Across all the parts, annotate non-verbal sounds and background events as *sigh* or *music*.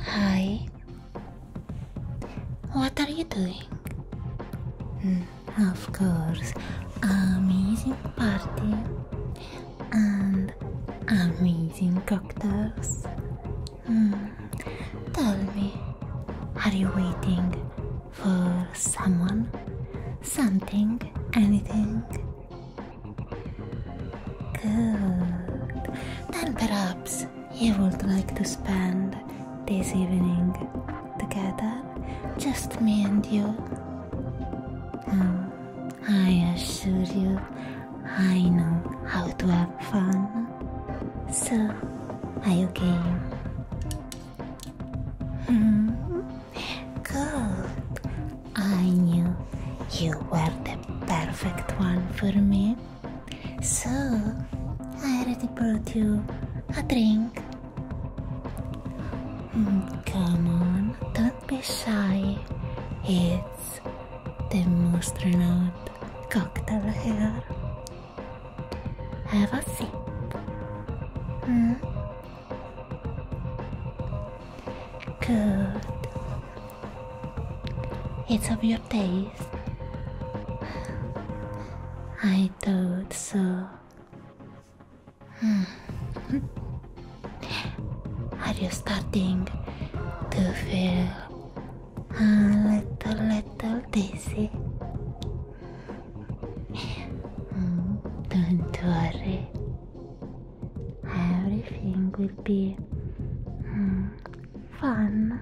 Hi. What are you doing? Mm, of course, amazing party and amazing cocktails. Mm, tell me, are you waiting for someone, something, anything. Good. Then perhaps you would like to spend this evening together, just me and you. Um, I assure you, I know how to have fun. So, are you game? Mm -hmm. Good. I knew you were the perfect one for me. So, I already brought you a drink. Mm, come on, don't be shy. It's the most renowned cocktail here. Have a seat. Hmm? Good. It's of your taste. I thought so. Hmm. *laughs* Are you starting to feel a uh, little, little dizzy? Don't worry, everything will be mm, fun.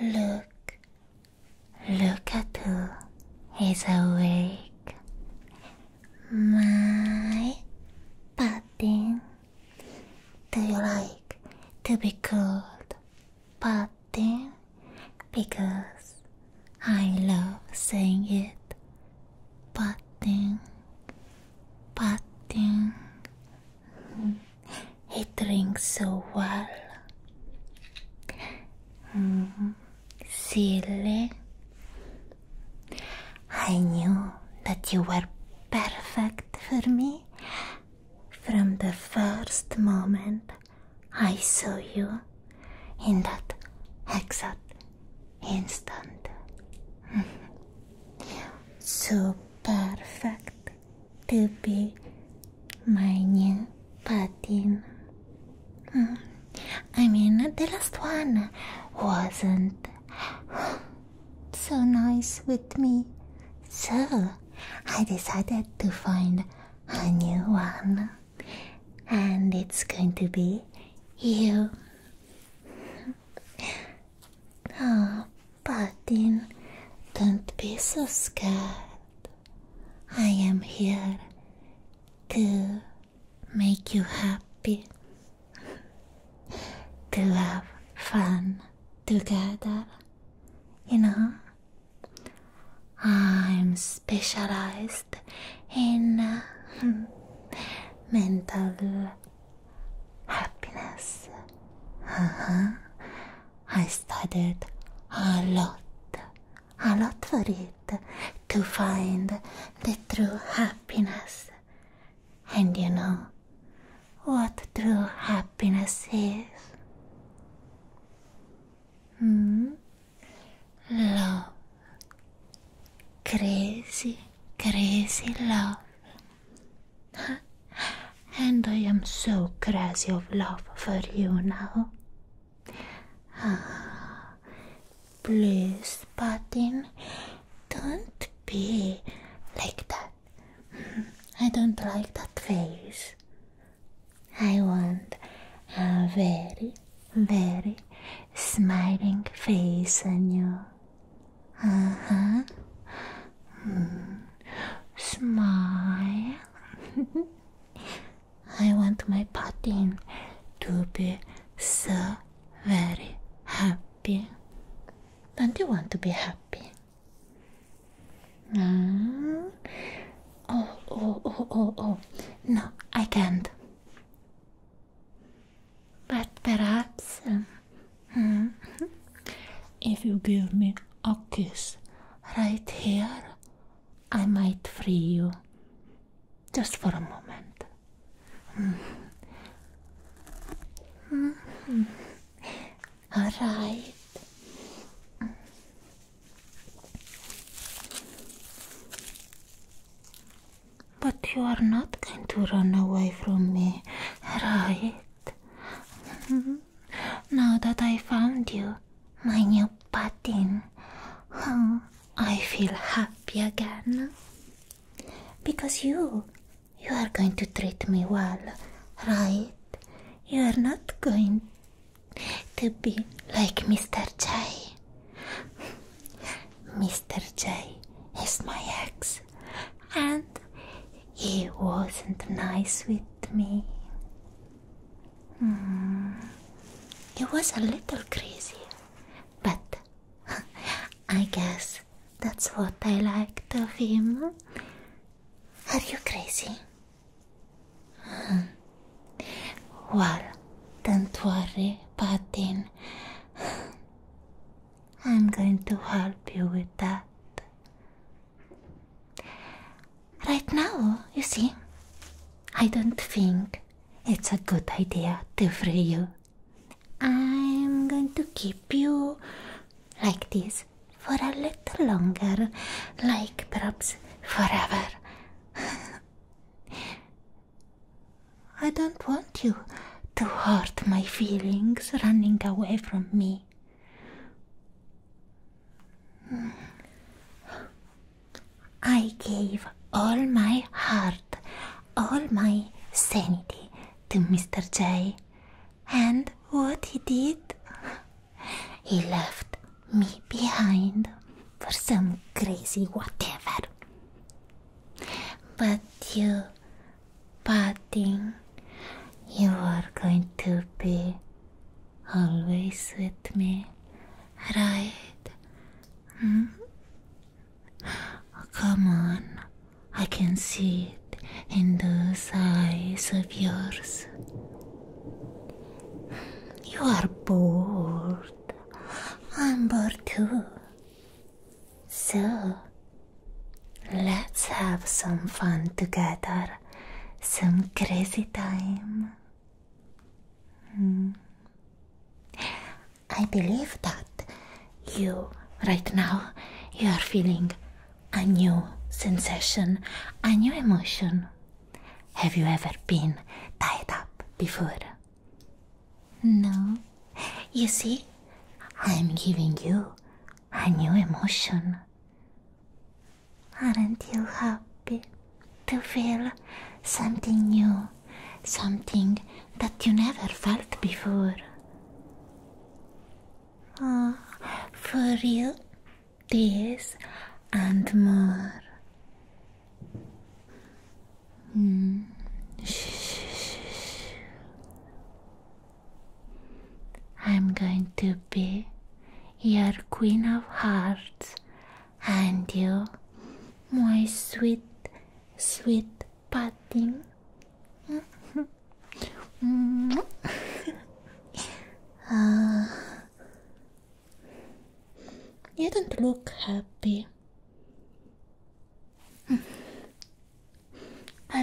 Look, look at who is awake. My pudding. Do you like to be called pudding? Because I love saying it. Pudding, pudding. He drinks so well. Mm-hmm. Silly, I knew that you were perfect for me from the first moment I saw you in that exact instant. *laughs* so perfect to be my new partner. I mean, the last one wasn't so nice with me, so I decided to find a new one, and it's going to be you. Oh, Patin, don't be so scared. I am here to make you happy, *laughs* to have fun together, you know. I'm specialized in uh, *laughs* mental happiness. Uh -huh. I studied a lot a lot for it to find the true happiness. And you know what true happiness is? Hmm? Love. Crazy, crazy love. and I am so crazy of love for you now. *sighs* please, Patin, don't be like that. *laughs* I don't like that face. I want a very, very smiling face on you. Uh uh-huh. huh. Hmm. Smile. *laughs* I want my party to be so very happy. Don't you want to be happy? Mm. Oh, oh, oh, oh, oh. No, I can't. But perhaps, um, hmm, if you give me a kiss right here I might free you just for a moment. Mm. Mm. All right. But you are not going to run away from me, right? Mm-hmm. Now that I found you, my new patin. Oh. I feel happy again. Because you, you are going to treat me well, right? You are not going to be like Mr. J. Mr. J is my ex, and he wasn't nice with me. Mm, it was a little crazy, but *laughs* I guess that's what I liked of him. Are you crazy? Hmm. Well, don't worry, Patin. *sighs* I'm going to help you with that. Right now, you see, I don't think it's a good idea to free you. I'm going to keep you like this for a little longer, like perhaps forever. *laughs* I don't want you to hurt my feelings running away from me. I gave all my heart, all my sanity to Mr. J. And what he did? He left me behind for some crazy whatever. But you, Padding, you are going to be always with me, right? Mm-hmm. Oh, come on, I can see it in those eyes of yours. You are bored. I'm bored too. So, let's have some fun together, some crazy time. Hmm. I believe that you, right now, you are feeling a new sensation, a new emotion. Have you ever been tied up before? No. You see, I'm giving you a new emotion. Aren't you happy? to feel something new, something that you never felt before. Oh, for you, this and more. Mm. I'm going to be your Queen of Hearts and you, my sweet, sweet pudding. *laughs* Uh, you don't look happy. Are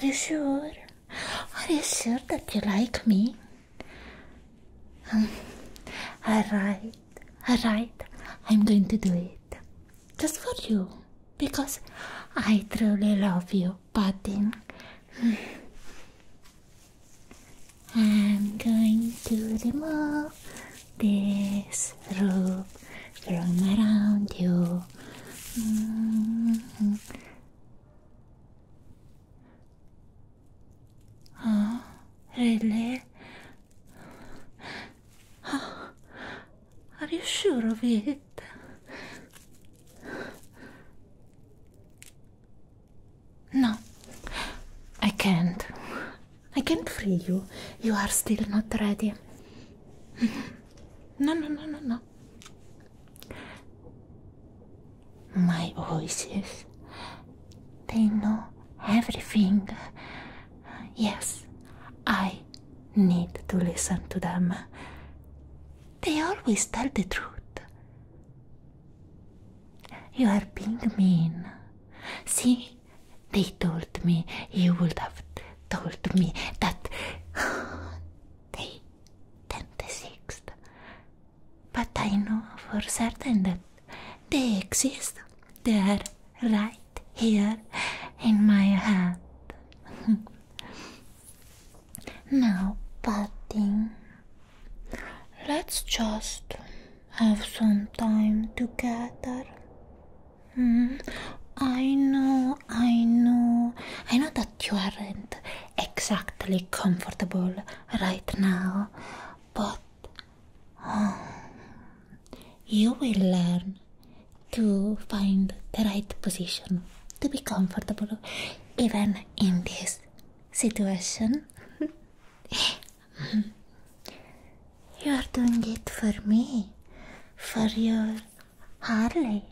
you sure? Are you sure that you like me? Alright, alright? I'm going to do it just for you because I truly love you, Patty. *sighs* I'm going to remove this rope from around you. Mm-hmm. Oh, really? *gasps* are you sure of it? No, I can't. I can't free you. You are still not ready. *laughs* No, no, no, no, no. My voices they know everything. Yes, I need to listen to them. They always tell the truth. You are being mean. See, they told me you would have told me that. Day 10th, 6th, but I know for certain that they exist. They are right here in my head. *laughs* now, Patty, let's just have some time together. Hmm? I know, I know, I know that you aren't exactly comfortable right now, but *sighs* you will learn to find the right position to be comfortable even in this situation. *laughs* *laughs* you are doing it for me, for your Harley.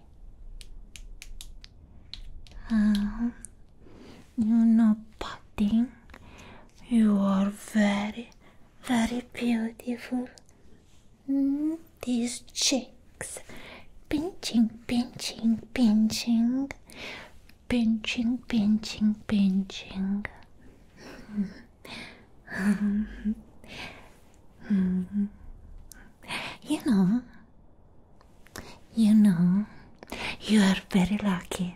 Uh, you know, patting you are very, very beautiful. Hmm, these cheeks. Pinching, pinching, pinching. Pinching, pinching, pinching. *laughs* you know, you know, you are very lucky.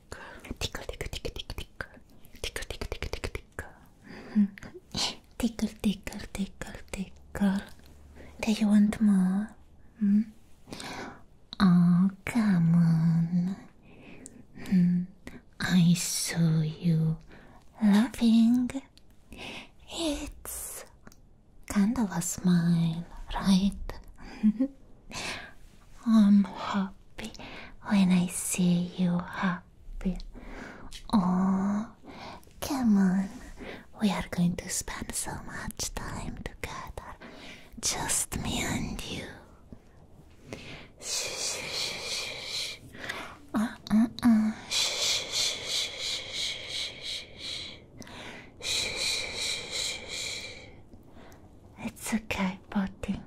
tickle, tickle, tickle, tickle, tickle, tickle, tickle, tickle, tickle, *laughs* tickle, tickle, tickle, tickle. Do you want more? Hmm? Oh, come on. Hmm. I saw you laughing. It's kind of a smile, right? *laughs* I'm happy when I see you happy. Oh, come on. We are going to spend so much time together. Just me and you. Shh, shh, shh, Shh, shh, shh, shh, shh, shh. Shh, shh, shh, shh. It's okay, Potty.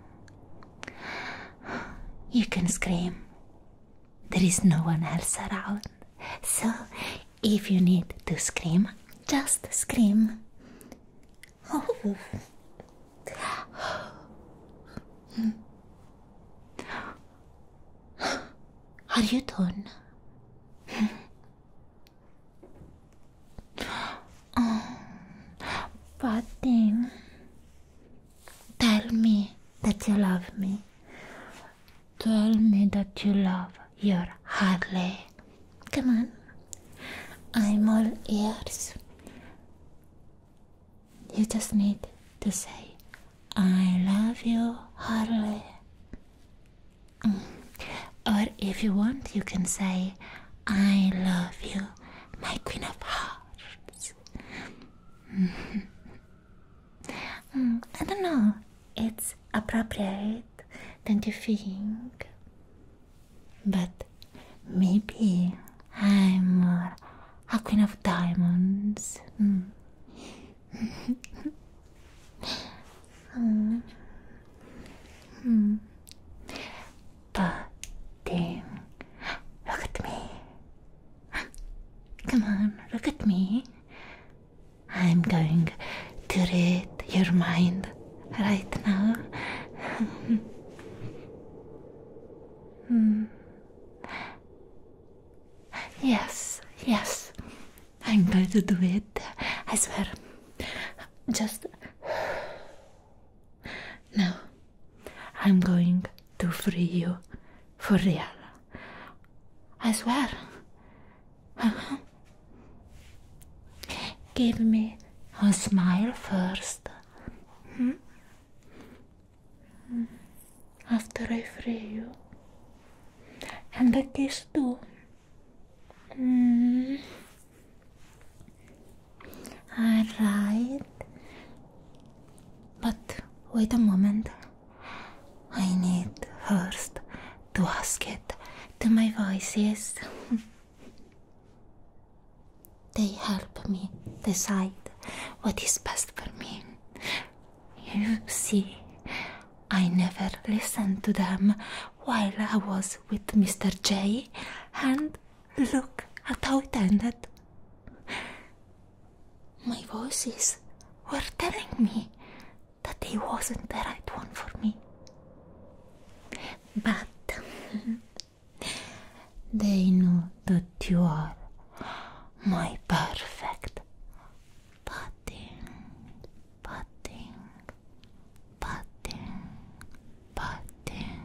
You can scream. There is no one else around. So, if you need to scream, just scream. Oh. *gasps* Are you done? Oh, bad thing. Tell me that you love me. Tell me that you love your Harley. Come on. I'm all ears. You just need to say, I love you, Harley. Mm. Or if you want, you can say, I love you, my Queen of Hearts. Mm-hmm. *laughs* Mm, I don't know, it's appropriate, don't you think? But maybe I'm more a Queen of Diamonds. Mm. *laughs* Mm. Pudding. Look at me. Come on, look at me. I'm going to read your mind right now. *laughs* Hmm. Yes, yes. I'm going to do it. I swear. Just now I'm going to free you for real. I swear. Uh-huh. Give me a smile first. Hmm? Hmm. After I free you. And a kiss too. Hmm. Alright. But wait a moment. I need first to ask it to my voices. *laughs* they help me decide what is best for me. You see, I never listened to them while I was with Mr. J, and Look at how it ended. My voices were telling me that he wasn't the right one for me. But *laughs* they know that you are my perfect patting, patting, patting, patting,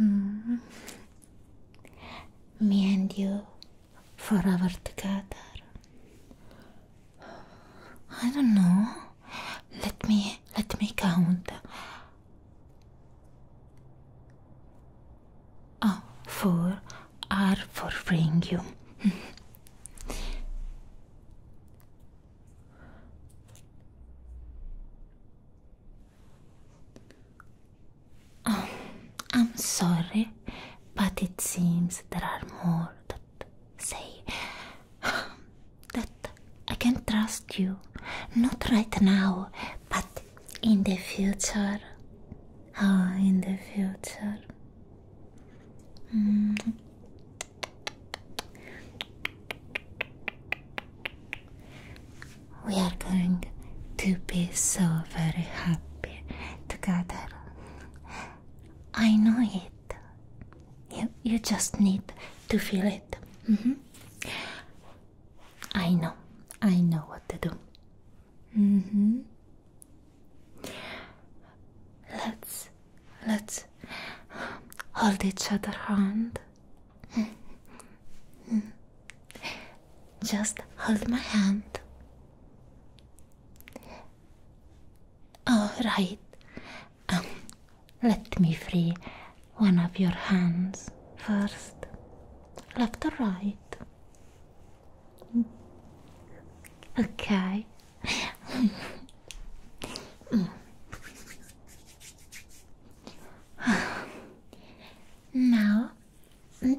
Mm-hmm. Me and you forever together. I don't know. Let me let me count. Oh, four are for freeing you. Oh, I'm sorry, but it seems there are more that say *sighs* that I can trust you. Not right now, but in the future. Oh, in the future. Mm. We are going to be so very happy together. I know it. You, you just need to feel it. Mm-hmm. I know. I know what to do. Mm-hmm. Let's let's hold each other hand just hold my hand. All right. Um, let me free one of your hands first. Left or right? Okay. *sighs* now, *laughs*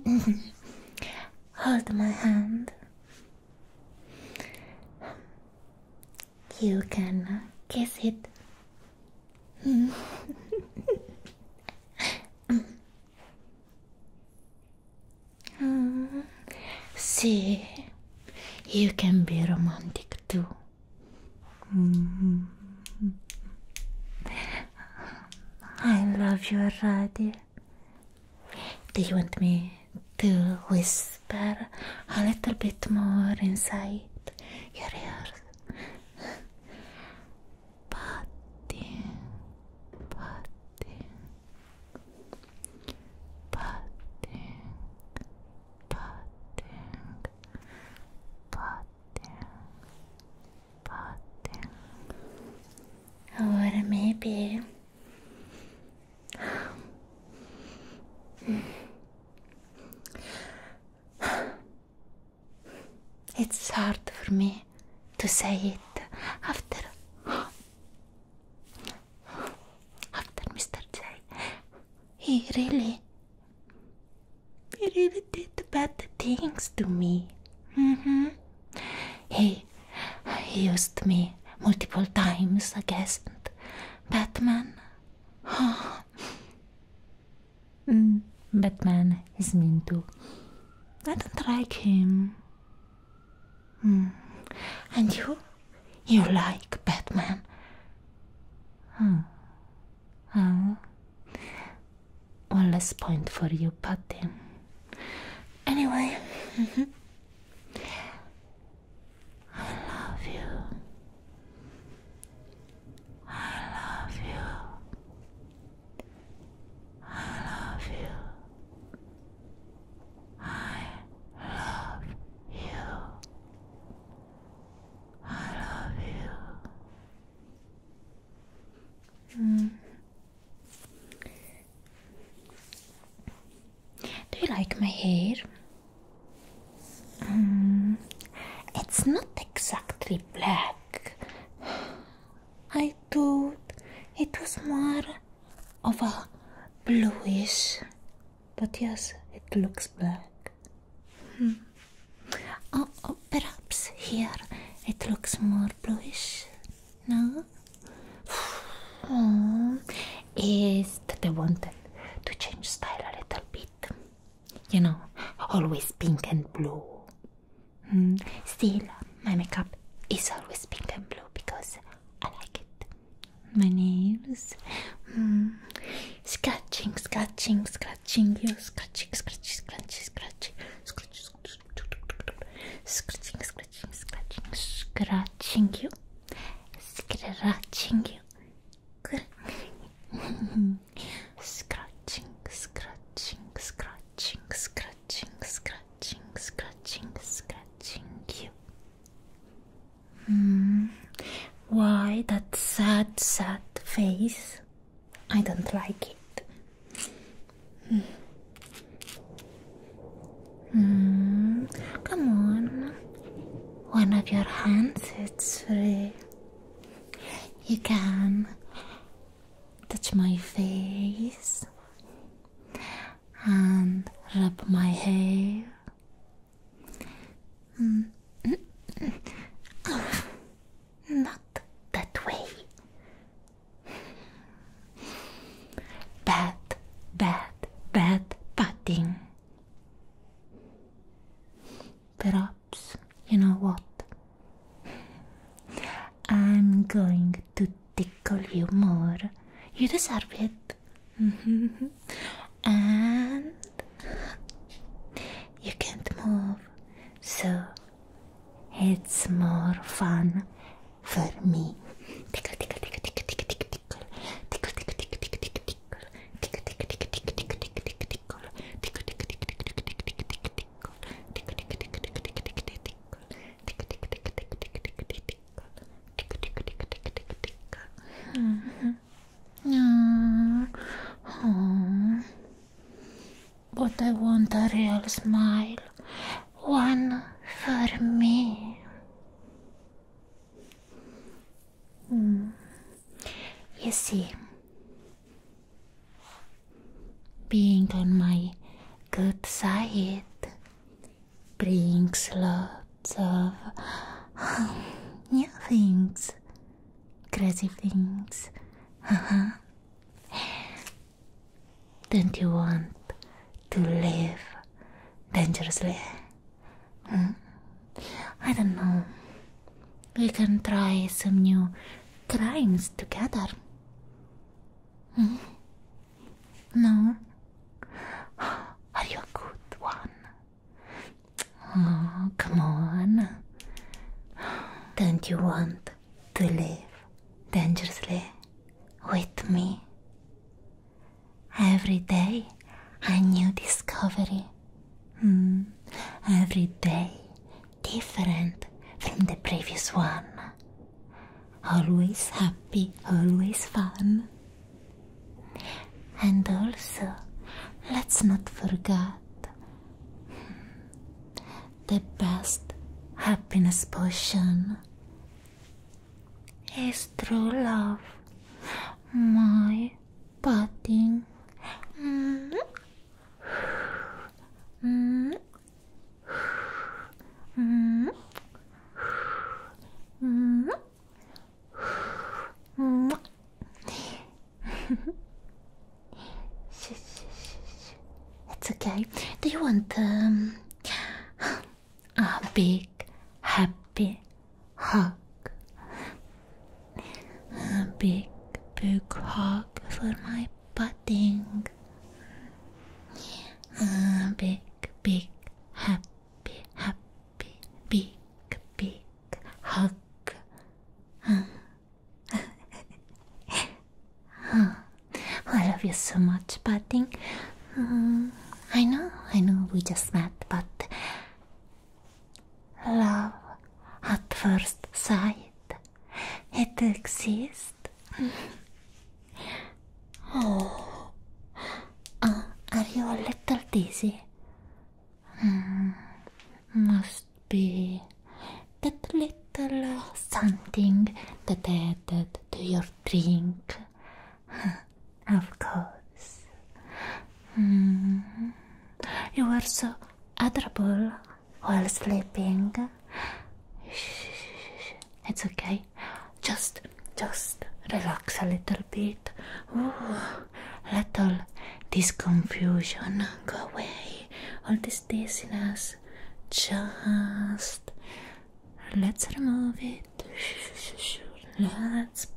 hold my hand. You can kiss it. *laughs* Ah, see, you can be romantic too. Mm-hmm. I love you already. Do you want me to whisper a little bit more inside your ears? Patty, Patty, Patty, Patty, Potter, Potter. Agora maybe. It's hard for me to say it after after Mr. J he really, he really did bad things to me. Mm hmm. He, he used me multiple times I guess. Batman. Oh. *sighs* Mm, Batman is mean too. I don't like him. Mm. And you? You like Batman? huh? Oh. One less point for you, Patty. Anyway, mm-hmm. I love you. I love you. I love you. I love you. I love you. Mm. Do you like my hair? Mm. It's not exactly black. I thought it was more of a bluish, but yes, it looks black. Hmm. Oh, perhaps here it looks more bluish. No? is that I wanted to change style a little bit? You know, always pink and blue. Mm. Still, my makeup is always pink and blue because I like it my nails. Mm. Scratching, scratching, scratching you. Scratching, scratching, scratching, scratching. Scratching, scratching, scratching, scratching, scratching you. Scratching you. scratching, scratching, scratching, scratching, scratching, scratching, scratching you. Mm. Why that sad, sad face? I don't like it. Mm. Mm. Come on, one of your hands it's free. You can touch my face and rub my hair. Mm. *laughs* Not that way. Bad, bad, bad patting. Perhaps, you know what? I'm going to tickle you more. You deserve it and you can't move, so it's more fun for me. Mm. But I want a real smile. One for me. Hmm. You see, being on my good side brings love lots of new *laughs* things, crazy things. *laughs* Don't you want to live dangerously? Hmm? I don't know. We can try some new crimes together. Hmm? No? *gasps* Are you a good one? Oh, come on. Don't you want to live dangerously with me? Every day a new discovery. Hmm, every day different from the previous one. Always happy, always fun. And also, let's not forget the best happiness potion is true love, my budding. -hmm. -hmm. -hmm. -hmm. *laughs* it's okay. Do you want um, a big, happy hug? A big, big hug for my pudding. A big, big, happy, happy big, big hug. oh, *laughs* I love you so much, Patting. Uh, I know, I know we just met, but love at first sight, it exists. oh, uh, are you a little dizzy? Hmm, must be that little something that added to your drink. *laughs* of course. Hmm, you were so adorable while sleeping. It's okay. Just, just relax a little little bit. Ooh, let all this confusion go away. All this dizziness. Just let's remove it. Let's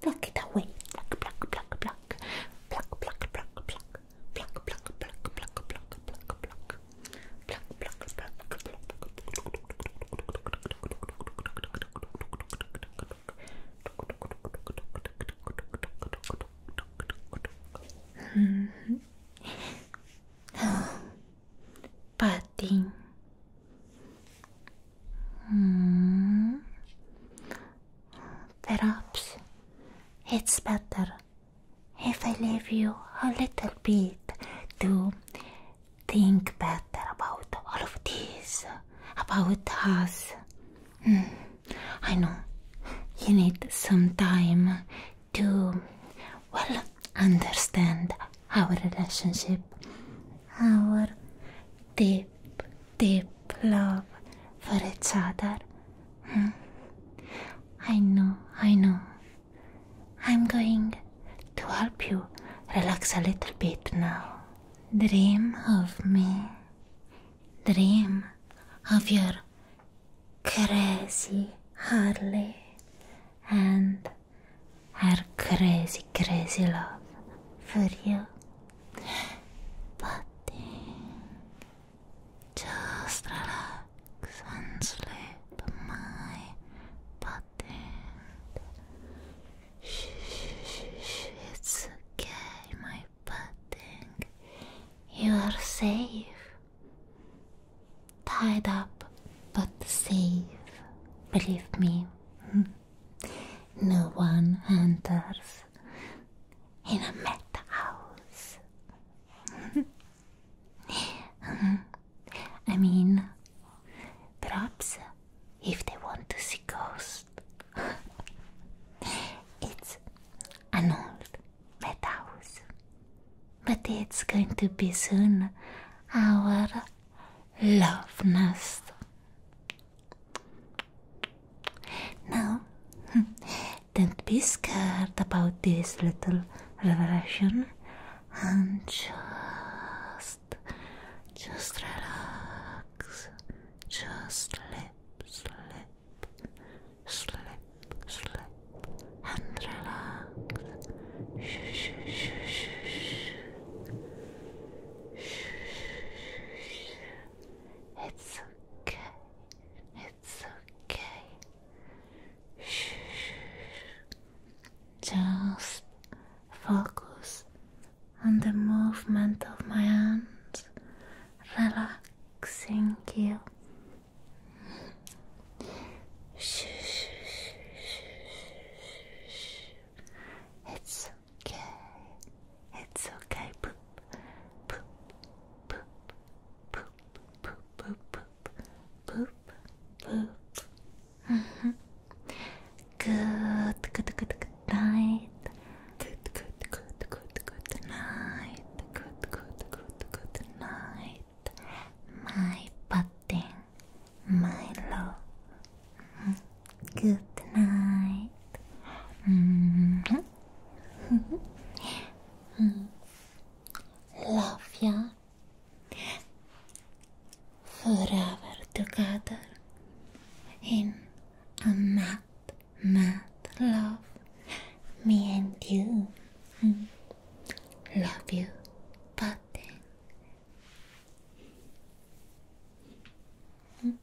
pluck it away. Patin. Hmm. Perhaps it's better if I leave you a little bit to think better about all of this, about us. Hmm, I know you need some time to, well, understand our relationship, our deep, deep love for each other. Hmm, I know, I know. I'm going to help you relax a little bit now. Dream of me. Dream of your crazy Harley and her crazy, crazy love for you. Butting. Just relax and sleep, my butting it's okay, my pudding. You are safe. Tied up, but safe. Believe me, hmm. no one enters in a mad house. *laughs* Hmm. I mean, perhaps if they want to see ghosts. *laughs* it's an old madhouse, but it's going to be soon our love nest. Now, *laughs* don't be scared about this little revelation and just just, relax. Just slip, slip, slip, slip, and relax. Shh, shh, shh, shh, shh. Shh. It's okay. It's okay. Shh. Just focus on the movement of my hands, Relax. Thank you. It's okay. It's okay. Poop, poop, poop, poop, poop, poop, poop, poop, poop, good, good, good, good night. Good, good, good, good, good night. Good, good, good, good night. My pudding, my love. Good night. Mm -hmm. *laughs* Love ya forever together in a mad, mad love. Me and you. Mm, love you, Patty. Mm.